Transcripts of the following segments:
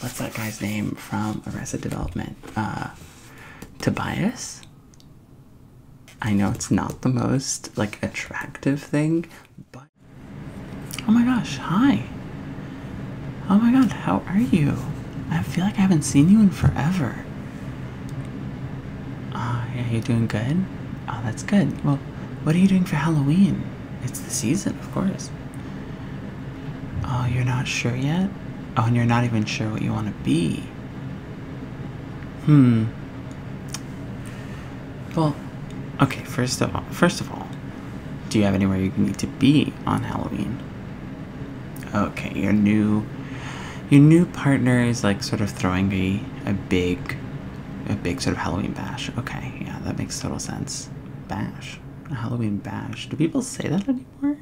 what's that guy's name from Arrested Development? Uh, Tobias. I know it's not the most like attractive thing, but oh my gosh, hi. Oh my god, how are you? I feel like I haven't seen you in forever. Ah, uh, you doing good. Oh, that's good. Well, what are you doing for Halloween? It's the season, of course. Oh, you're not sure yet? Oh, and you're not even sure what you want to be. Hmm. Well, okay, first of all, first of all, do you have anywhere you need to be on Halloween? Okay, your new your new partner is like sort of throwing a a big a big sort of Halloween bash. Okay, yeah, that makes total sense. Bash. Halloween bash. Do people say that anymore?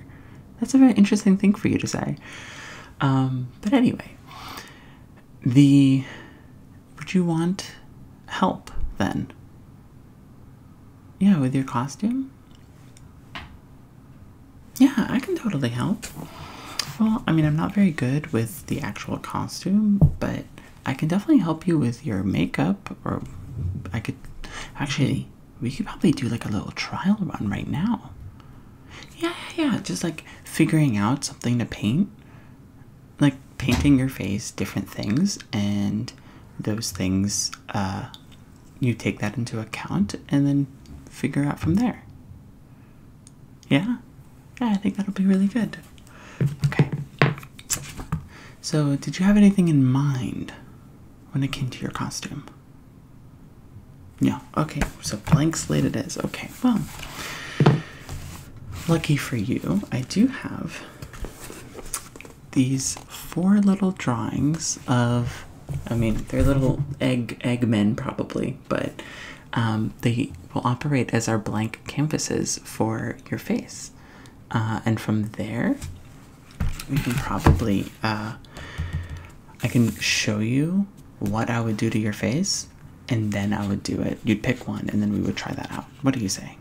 That's a very interesting thing for you to say. Um, but anyway, the would you want help then? Yeah, with your costume? Yeah, I can totally help. Well, I mean, I'm not very good with the actual costume, but I can definitely help you with your makeup, or I could actually, we could probably do like a little trial run right now. Yeah, yeah, Just like figuring out something to paint, like painting your face, different things, and those things, uh, you take that into account and then figure out from there. Yeah, yeah, I think that'll be really good. Okay. So, did you have anything in mind when it came to your costume? No. Okay. So, blank slate it is. Okay. Well, lucky for you, I do have these four little drawings of I mean, they're little egg egg men probably, but um, they will operate as our blank canvases for your face. Uh, and from there we can probably uh, I can show you what I would do to your face and then I would do it. You'd pick one and then we would try that out. What are you saying?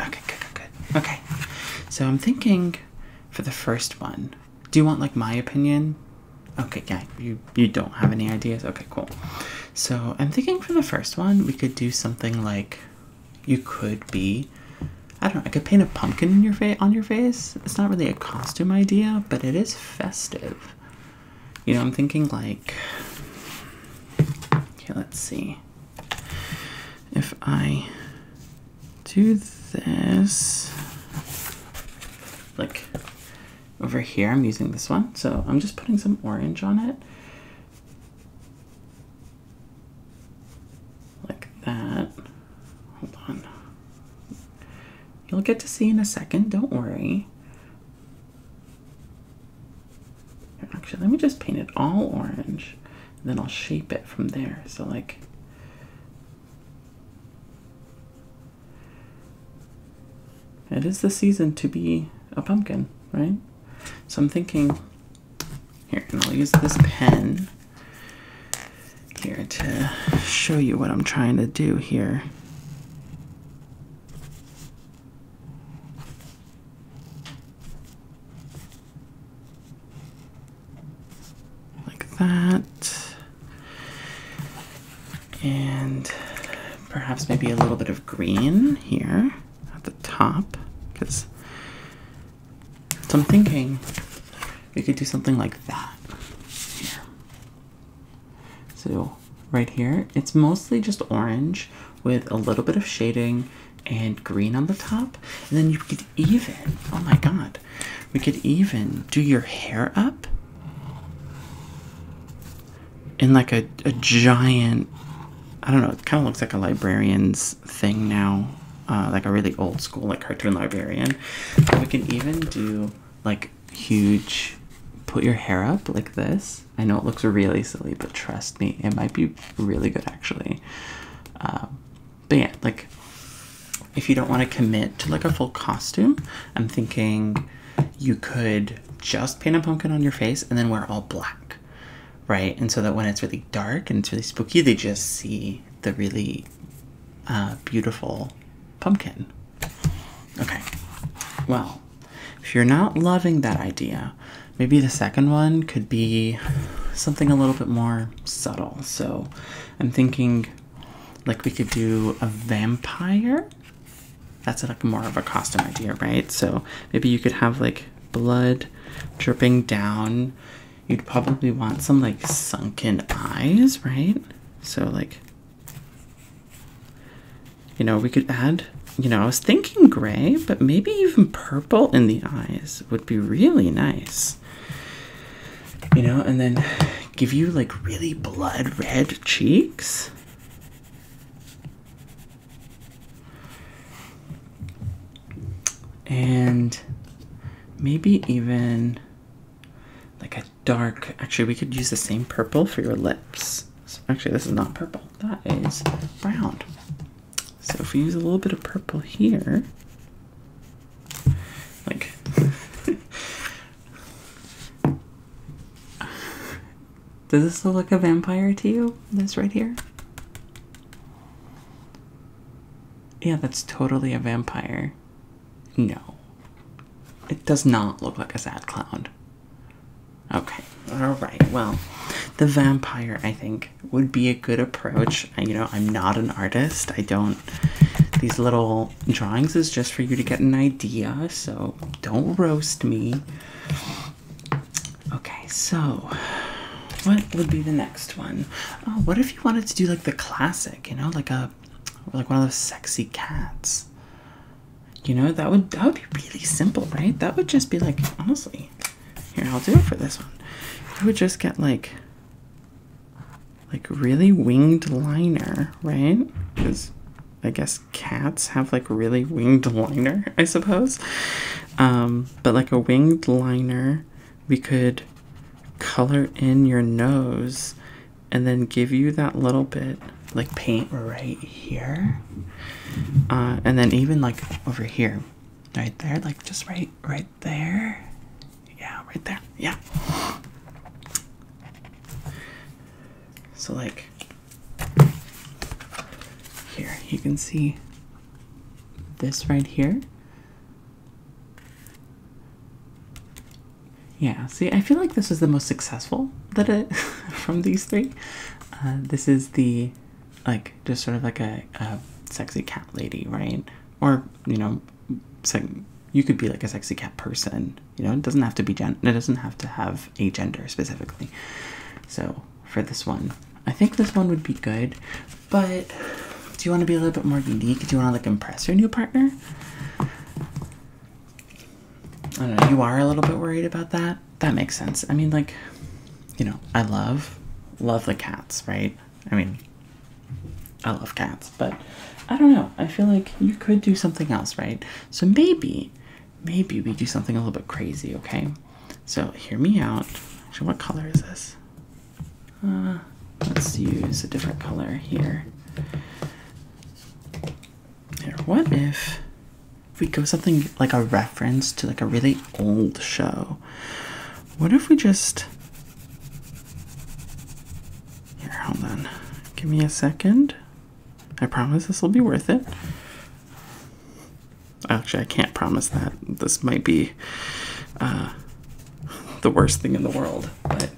Okay, good, good, good. Okay. So I'm thinking for the first one. Do you want like my opinion? Okay, yeah, you you don't have any ideas. Okay, cool. So I'm thinking for the first one we could do something like you could be, I don't know, I could paint a pumpkin on your face. It's not really a costume idea, but it is festive. You know, I'm thinking like, okay, let's see. If I do this, like over here, I'm using this one. So I'm just putting some orange on it like that. Hold on. You'll get to see in a second, don't worry. Actually, let me just paint it all orange, and then I'll shape it from there. So, like, it is the season to be a pumpkin, right? So, I'm thinking here, and I'll use this pen here to show you what I'm trying to do here. Like that. And perhaps maybe a little bit of green here at the top because so I'm thinking we could do something like that here. So right here, it's mostly just orange with a little bit of shading and green on the top. And then you could even, oh my god, we could even do your hair up in like a, a giant I don't know. It kind of looks like a librarian's thing now, uh, like a really old school like cartoon librarian. we can even do like huge. Put your hair up like this. I know it looks really silly, but trust me, it might be really good actually. Um, but yeah, like if you don't want to commit to like a full costume, I'm thinking you could just paint a pumpkin on your face and then wear all black right? And so that when it's really dark and it's really spooky, they just see the really uh, beautiful pumpkin. Okay, well, if you're not loving that idea, maybe the second one could be something a little bit more subtle. So I'm thinking like we could do a vampire. That's like more of a costume idea, right? So maybe you could have like blood dripping down. You'd probably want some like sunken eyes, right? So, like, you know, we could add, you know, I was thinking gray, but maybe even purple in the eyes would be really nice. You know, and then give you like really blood red cheeks and maybe even like a dark actually we could use the same purple for your lips actually this is not purple that is brown so if we use a little bit of purple here like Does this look like a vampire to you? This right here? Yeah, that's totally a vampire. No. It does not look like a sad clown. Okay, alright, well, the vampire, I think, would be a good approach. I, you know, I'm not an artist. I don't. These little drawings is just for you to get an idea, so don't roast me. Okay, so what would be the next one? Oh, what if you wanted to do like the classic, you know, like a like one of those sexy cats? You know, that would that would be really simple, right? That would just be like honestly. Here, I'll do it for this one. You would just get like like really winged liner, right? Because I guess cats have like really winged liner, I suppose. Um, but like a winged liner, we could color in your nose and then give you that little bit like paint right here. Uh, and then even like over here, right there, like just right, right there. Yeah, right there. Yeah. So like here you can see this right here. Yeah, see, I feel like this is the most successful that it from these three. Uh, this is the like just sort of like a, sexy cat lady, right? Or you know, you could be like a sexy cat person. You know, it doesn't have to be gen. It doesn't have to have a gender specifically. So for this one. I think this one would be good, but do you want to be a little bit more unique? Do you want to like impress your new partner? I don't know, you are a little bit worried about that. That makes sense. I mean, like, you know, I love, love the cats, right? I mean, I love cats, but I don't know. I feel like you could do something else, right? So maybe maybe we do something a little bit crazy, okay? So hear me out. Actually, what color is this? Uh, let's use a different color here. Here, what if we go something like a reference to like a really old show? What if we just here? Hold on, give me a second. I promise this will be worth it. Actually, I can't promise that. This might be uh, the worst thing in the world. But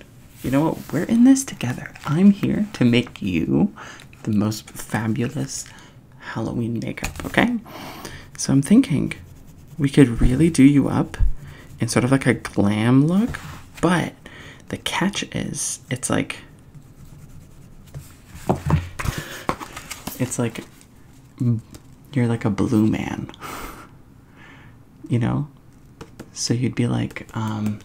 you know what? We're in this together. I'm here to make you the most fabulous Halloween makeup, okay? So I'm thinking we could really do you up in sort of like a glam look, but the catch is it's like it's like you're like a blue man, you know? So you'd be like, um,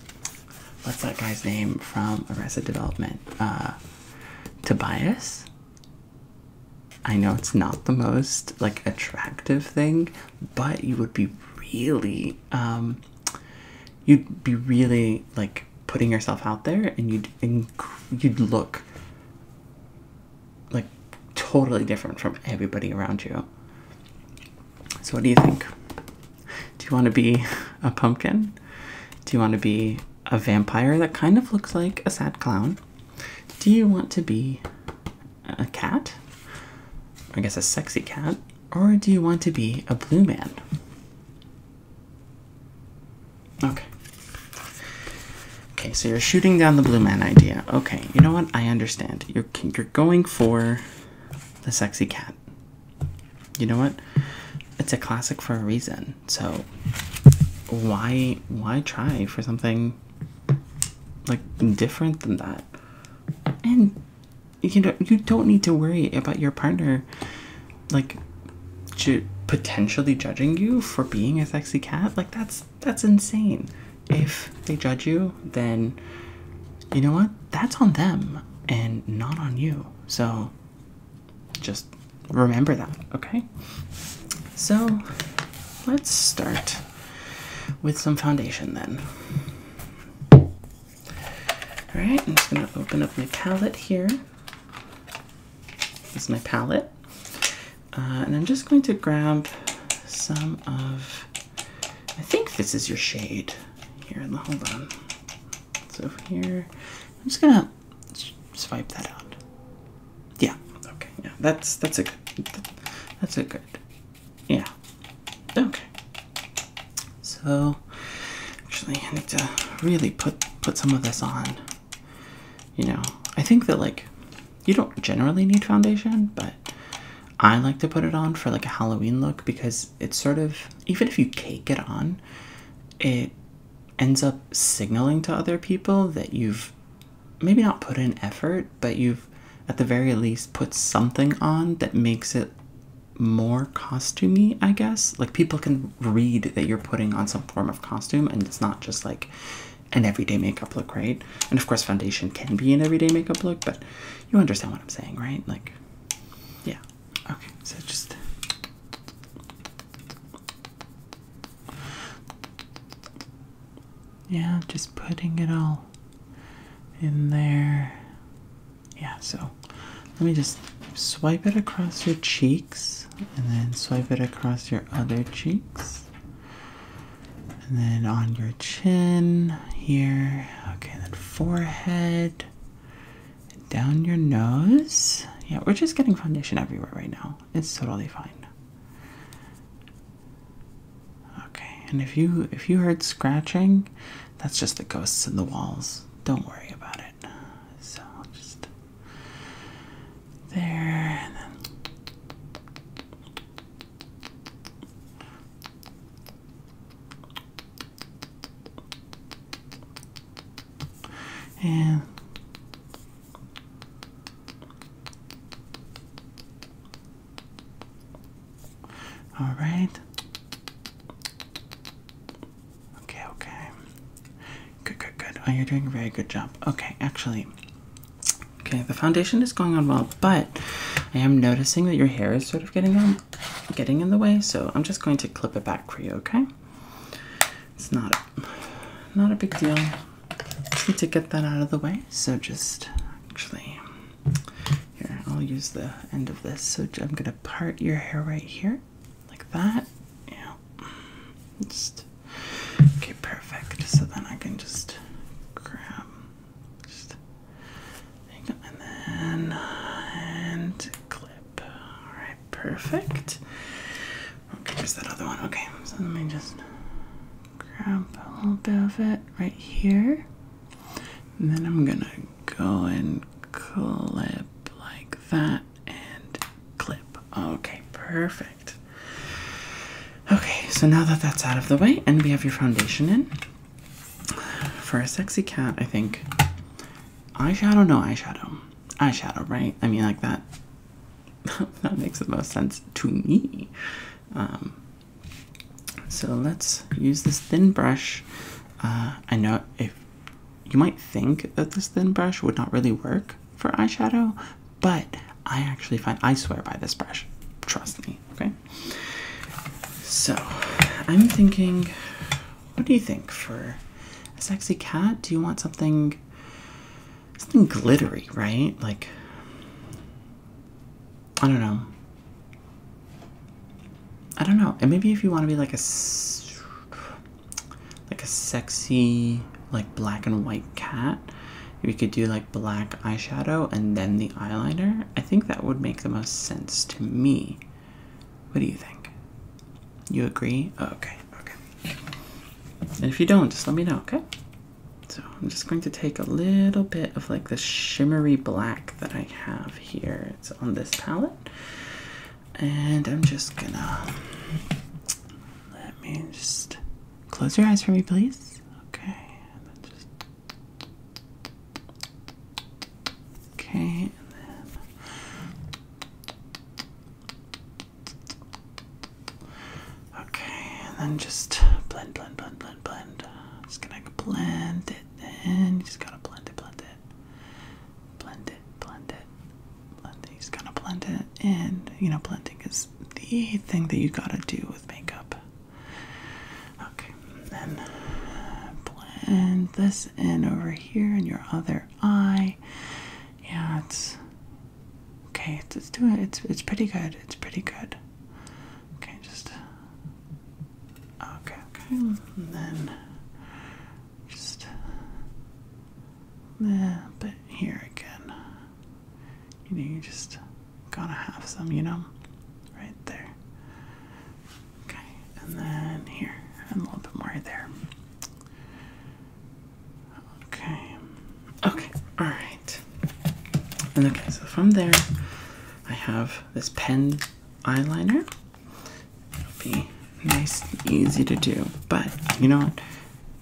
what's that guy's name from Arrested Development? Uh, Tobias? I know it's not the most like attractive thing, but you would be really, um, you'd be really like putting yourself out there and you'd and you'd look like totally different from everybody around you. So what do you think? Do you want to be a pumpkin? Do you want to be a vampire that kind of looks like a sad clown? Do you want to be a cat? I guess a sexy cat. Or do you want to be a blue man? Okay. Okay, so you're shooting down the blue man idea. Okay, you know what? I understand. You're you're going for the sexy cat. You know what? It's a classic for a reason. So why why try for something like different than that? And you don't you don't need to worry about your partner like potentially judging you for being a sexy cat like that's that's insane if they judge you then you know what that's on them and not on you so just remember that okay so let's start with some foundation then all right i'm just going to open up my palette here this is my palette. Uh, and I'm just going to grab some of, I think this is your shade here in the, hold on. So here, I'm just gonna swipe that out. Yeah, okay, yeah, that's, that's a good, that's a good, yeah, okay. So actually I need to really put put some of this on. You know, I think that like you don't generally need foundation, but I like to put it on for like a Halloween look because it's sort of even if you cake it on, it ends up signaling to other people that you've maybe not put in effort, but you've at the very least put something on that makes it more costumey, I guess. Like people can read that you're putting on some form of costume and it's not just like an everyday makeup look, right? And of course foundation can be an everyday makeup look, but you understand what I'm saying, right? Like yeah. Okay, so just yeah, just putting it all in there. Yeah, so let me just swipe it across your cheeks and then swipe it across your other cheeks. And then on your chin here. Okay, then forehead. Down your nose. Yeah, we're just getting foundation everywhere right now. It's totally fine. Okay, and if you if you heard scratching, that's just the ghosts in the walls. Don't worry about it. So just there and then and all right Okay, okay. Good, good, good. Oh, you're doing a very good job. Okay, actually. Okay, the foundation is going on well, but I am noticing that your hair is sort of getting on, getting in the way, so I'm just going to clip it back for you, okay? It's not not a big deal. need to get that out of the way. So just actually here, I'll use the end of this. So I'm gonna part your hair right here like that. Yeah. Just okay, perfect. So then I can just grab just hang on, and then uh, clip. Alright, perfect. Okay, there's that other one. Okay, so let me just grab a little bit of it right here. And then I'm gonna go and clip like that and clip. Okay, perfect. Okay, so now that that's out of the way and we have your foundation in, for a sexy cat, I think eyeshadow, no eyeshadow. Eyeshadow, right? I mean, like that. that makes the most sense to me. Um, so let's use this thin brush. Uh, I know if you might think that this thin brush would not really work for eyeshadow, but I actually find I swear by this brush. Trust me, okay? So, I'm thinking, what do you think for a sexy cat? Do you want something something glittery, right? Like I don't know. I don't know. And maybe if you want to be like a like a sexy like black and white cat, we could do like black eyeshadow and then the eyeliner. I think that would make the most sense to me. What do you think? You agree? Oh, okay, okay. And if you don't, just let me know, okay? So I'm just going to take a little bit of like the shimmery black that I have here. It's on this palette and I'm just gonna let me just close your eyes for me, please. Okay, and then just okay, and then okay, and then just blend, blend, blend, blend, blend. Just gonna blend it in. You just gotta blend it, blend it blend it, blend it, blend it. He's gonna blend it, and you know, blending is the thing that you gotta do with makeup. Okay, then uh, blend this in over here in your other eye. Yeah, it's okay. It's, doing it's it's pretty good. It's pretty good. Okay, just okay, okay, then just eh, a little bit here again. You know, you just gotta have some, you know? Right there. Okay, and then here, and a little bit more there. Okay. Okay, alright. And okay, so from there, I have this pen eyeliner. It'll be nice and easy to do. But you know what?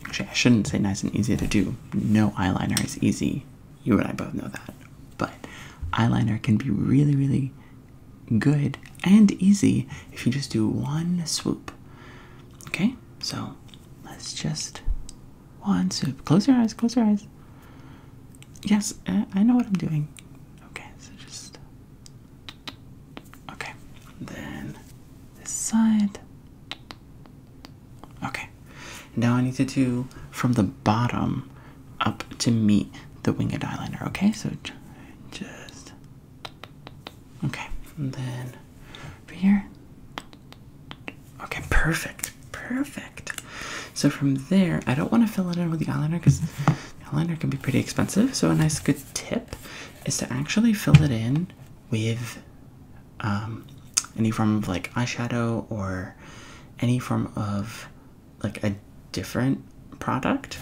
Actually, I shouldn't say nice and easy to do. No eyeliner is easy. You and I both know that. But eyeliner can be really, really good and easy if you just do one swoop. Okay? So let's just one swoop. Close your eyes, close your eyes. Yes, I know what I'm doing. Okay, so just Okay, then this side. Okay, now I need to do from the bottom up to meet the winged eyeliner. Okay, so just okay, then here. Okay, perfect, perfect. So from there, I don't want to fill it in with the eyeliner because eyeliner can be pretty expensive, so a nice good tip is to actually fill it in with um, any form of like eyeshadow or any form of like a different product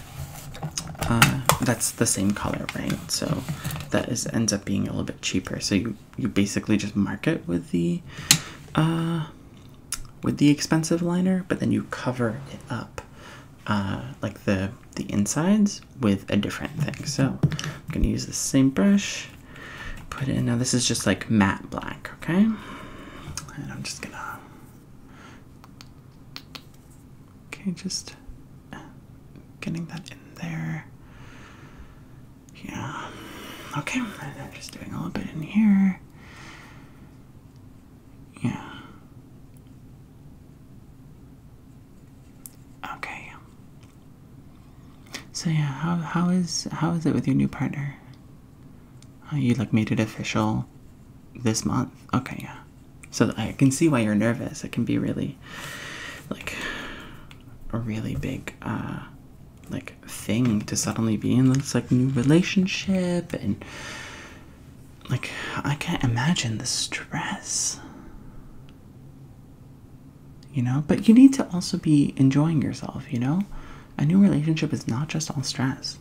uh, that's the same color, right? So that is ends up being a little bit cheaper. So you you basically just mark it with the uh, with the expensive liner, but then you cover it up, uh, like the the insides, with a different thing. So I'm gonna use the same brush, put it in. Now this is just like matte black, okay? And I'm just gonna, okay, just uh, getting that in there. Yeah. Okay, I'm just doing a little bit in here. Yeah. Okay. So yeah, how how is how is it with your new partner? Oh, you like made it official this month. Okay, yeah. So I can see why you're nervous. It can be really like a really big uh like thing to suddenly be in this like new relationship and like I can't imagine the stress. You know, but you need to also be enjoying yourself, you know? A new relationship is not just all stress.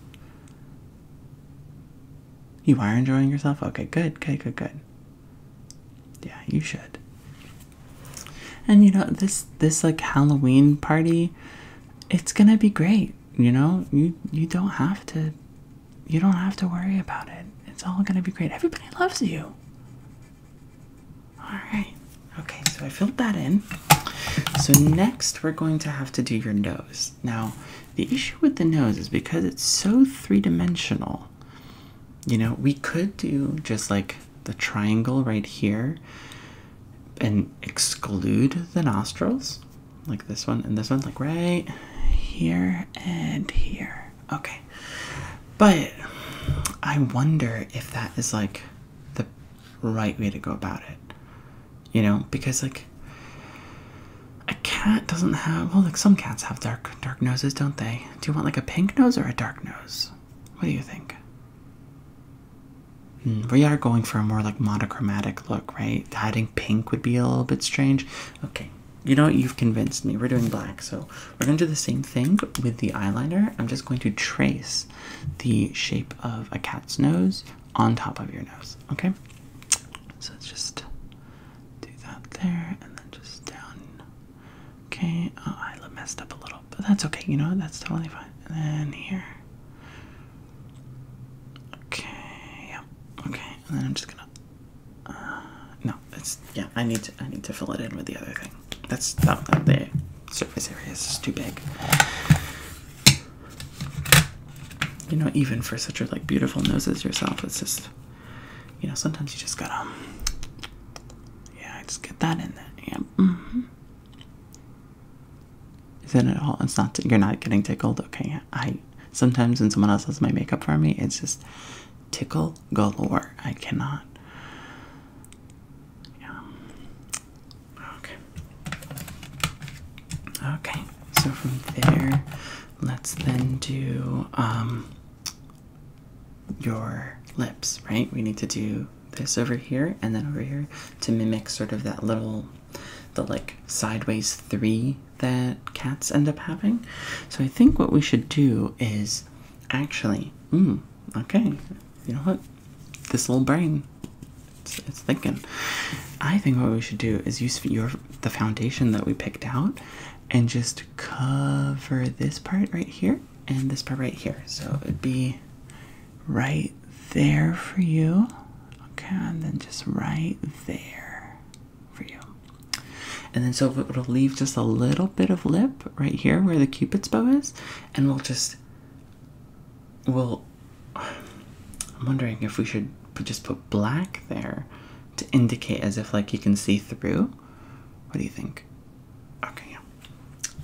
You are enjoying yourself? Okay, good, good, good, good. Yeah, you should. And you know, this this like Halloween party, it's gonna be great you know you you don't have to you don't have to worry about it it's all gonna be great everybody loves you all right okay so i filled that in so next we're going to have to do your nose now the issue with the nose is because it's so three-dimensional you know we could do just like the triangle right here and exclude the nostrils like this one and this one, like right here and here. Okay. But I wonder if that is like the right way to go about it. You know, because like a cat doesn't have well like some cats have dark dark noses, don't they? Do you want like a pink nose or a dark nose? What do you think? Hmm, we are going for a more like monochromatic look, right? Adding pink would be a little bit strange. Okay, you know what? You've convinced me. We're doing black, so we're gonna do the same thing with the eyeliner. I'm just going to trace the shape of a cat's nose on top of your nose. Okay, so let's just do that there, and then just down. Okay, oh, I messed up a little, but that's okay. You know what? That's totally fine. And then here, Okay, Okay, and then I'm just gonna. Uh, no, it's yeah. I need to. I need to fill it in with the other thing. That's not that the surface area is too big. You know, even for such a like beautiful nose as yourself, it's just. You know, sometimes you just gotta. Yeah, I just get that in there. Yeah. Mm-hmm. Isn't it all? It's not. You're not getting tickled, okay? I sometimes when someone else does my makeup for me, it's just tickle galore. I cannot. Yeah. Okay. Okay. So from there, let's then do um your lips, right? We need to do this over here and then over here to mimic sort of that little the like sideways three that cats end up having. So I think what we should do is actually, mm, okay, you know what? This little brain, it's, it's thinking. I think what we should do is use your the foundation that we picked out and just cover this part right here and this part right here. So it'd be right there for you. Okay, and then just right there for you. And then so it'll leave just a little bit of lip right here where the cupid's bow is, and we'll just we'll I'm wondering if we should just put black there to indicate as if like you can see through. What do you think? Okay, yeah.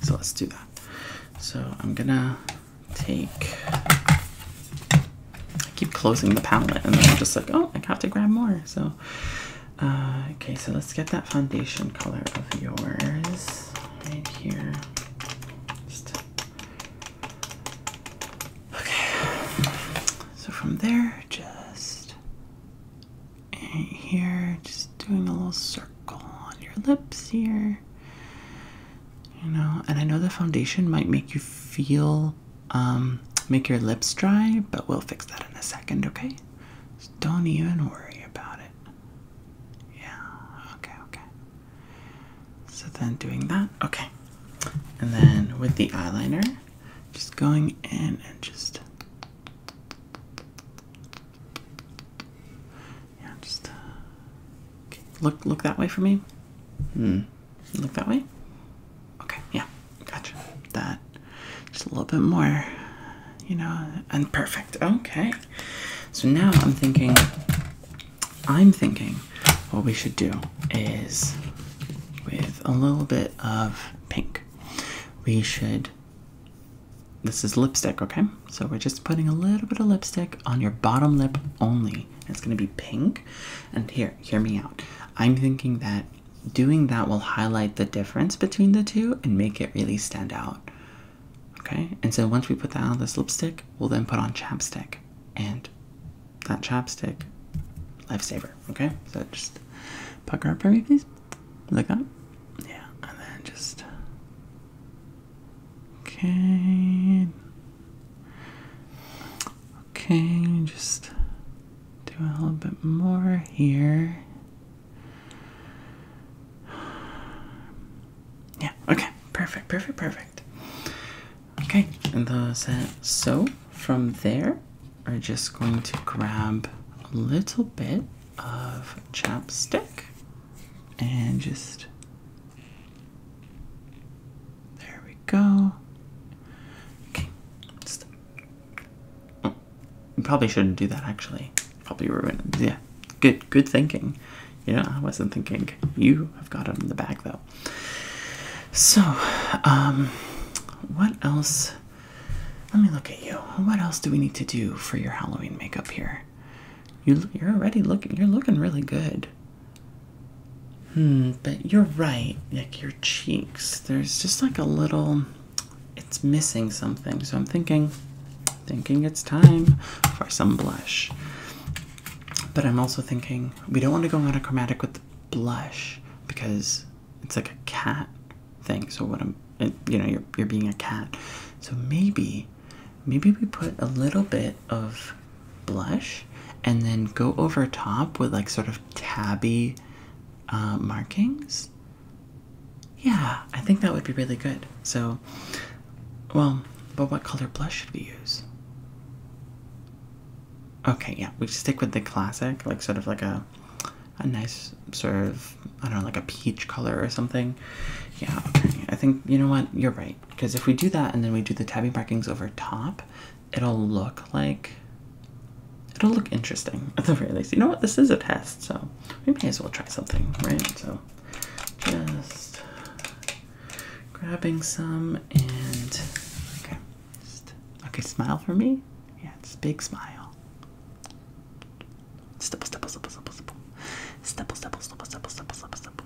So let's do that. So I'm gonna take. I keep closing the palette and then I'm just like, oh, I got to grab more. So, uh, okay, so let's get that foundation color of yours right here. Okay, so from there, just right here, just doing a little circle on your lips here you know and i know the foundation might make you feel um, make your lips dry but we'll fix that in a second okay so don't even worry about it yeah okay okay so then doing that okay and then with the eyeliner just going in and just yeah, just uh, look look that way for me. Hmm. Look that way. Okay. Yeah. Gotcha. That. Just a little bit more. You know, and perfect. Okay. So now I'm thinking. I'm thinking what we should do is with a little bit of pink. We should. This is lipstick, okay? So we're just putting a little bit of lipstick on your bottom lip only. It's going to be pink. And here, hear me out. I'm thinking that doing that will highlight the difference between the two and make it really stand out. Okay? And so once we put that on this lipstick, we'll then put on chapstick. And that chapstick, lifesaver. Okay? So just pucker up for me, please. Like that? Yeah. And then just Okay. Okay, just do a little bit more here. Yeah, okay, perfect, perfect, perfect. Okay, and those uh, so from there, are just going to grab a little bit of chapstick and just there we go. Okay, just, oh, probably shouldn't do that actually. Probably ruin. Yeah, good, good thinking. Yeah, I wasn't thinking. You have got it in the bag though. So, um, what else? Let me look at you. What else do we need to do for your Halloween makeup here? you're already looking. You're looking really good. Hmm, but you're right. Like your cheeks, there's just like a little, it's missing something. So I'm thinking, thinking it's time for some blush. But I'm also thinking we don't want to go monochromatic with the blush because it's like a cat thing. So what I'm, you know, you're you're being a cat. So maybe Maybe we put a little bit of blush and then go over top with like sort of tabby uh, markings. Yeah, I think that would be really good. So, well, but what color blush should we use? Okay, yeah, we stick with the classic, like sort of like a a nice sort of I don't know, like a peach color or something. Yeah, okay. I think you know what? You're right because if we do that and then we do the tabby markings over top it'll look like it'll look interesting at the very least you know what this is a test so we may as well try something right so just grabbing some and okay okay smile for me yeah it's big smile stipple stipple stipple stipple stipple stipple stipple stipple stipple stipple stipple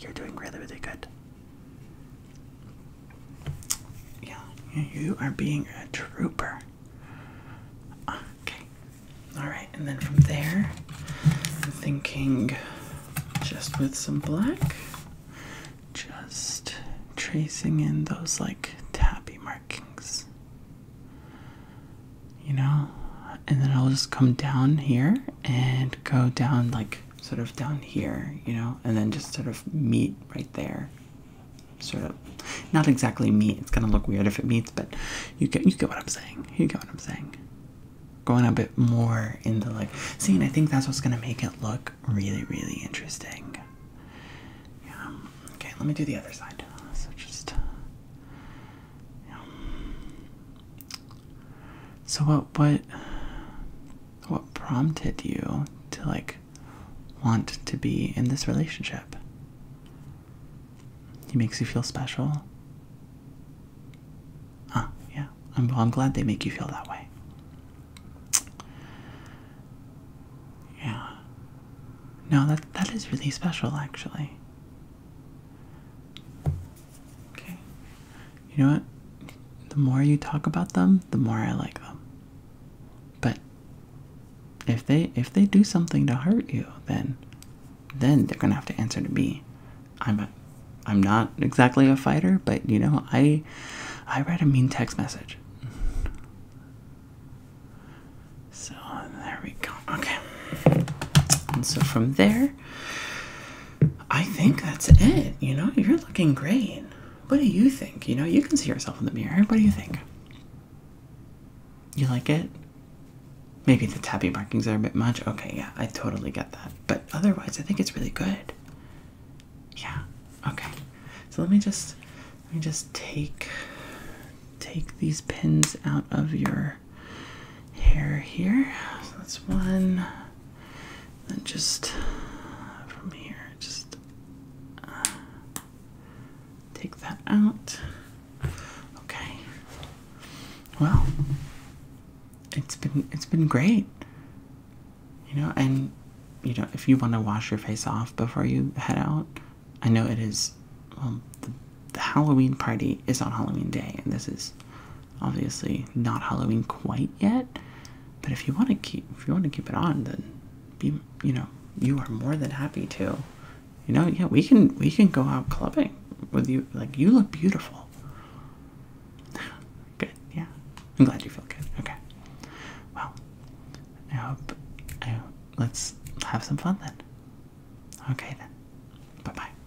You're doing really, really good. Yeah, you are being a trooper. Okay. Alright, and then from there, I'm thinking just with some black, just tracing in those like tappy markings. You know? And then I'll just come down here and go down like sort of down here, you know, and then just sort of meet right there. Sort of not exactly meet, it's gonna look weird if it meets, but you get you get what I'm saying. You get what I'm saying. Going a bit more into like see and I think that's what's gonna make it look really, really interesting. Yeah. Okay, let me do the other side. So just yeah. So what what what prompted you to like want to be in this relationship? He makes you feel special. Ah, yeah. I'm I'm glad they make you feel that way. Yeah. No, that that is really special actually. Okay. You know what? The more you talk about them, the more I like them. But if they if they do something to hurt you, then then they're gonna have to answer to me. I'm a, I'm not exactly a fighter, but you know I I write a mean text message. So there we go. Okay. And so from there, I think that's it. You know, you're looking great. What do you think? You know, you can see yourself in the mirror. What do you think? You like it? Maybe the tabby markings are a bit much. Okay, yeah, I totally get that. But otherwise, I think it's really good. Yeah. Okay. So let me just let me just take take these pins out of your hair here. So that's one. Then just uh, from here, just uh, take that out. Okay. Well, it's been it's been great. You know, and you know, if you want to wash your face off before you head out, I know it is. Well, the Halloween party is on Halloween day, and this is obviously not Halloween quite yet. But if you want to keep if you want to keep it on, then be you know you are more than happy to. You know, yeah, we can we can go out clubbing with you. Like you look beautiful. good, yeah. I'm glad you feel good. Okay. Well, I hope. I let's have some fun then. Okay then. Bye bye.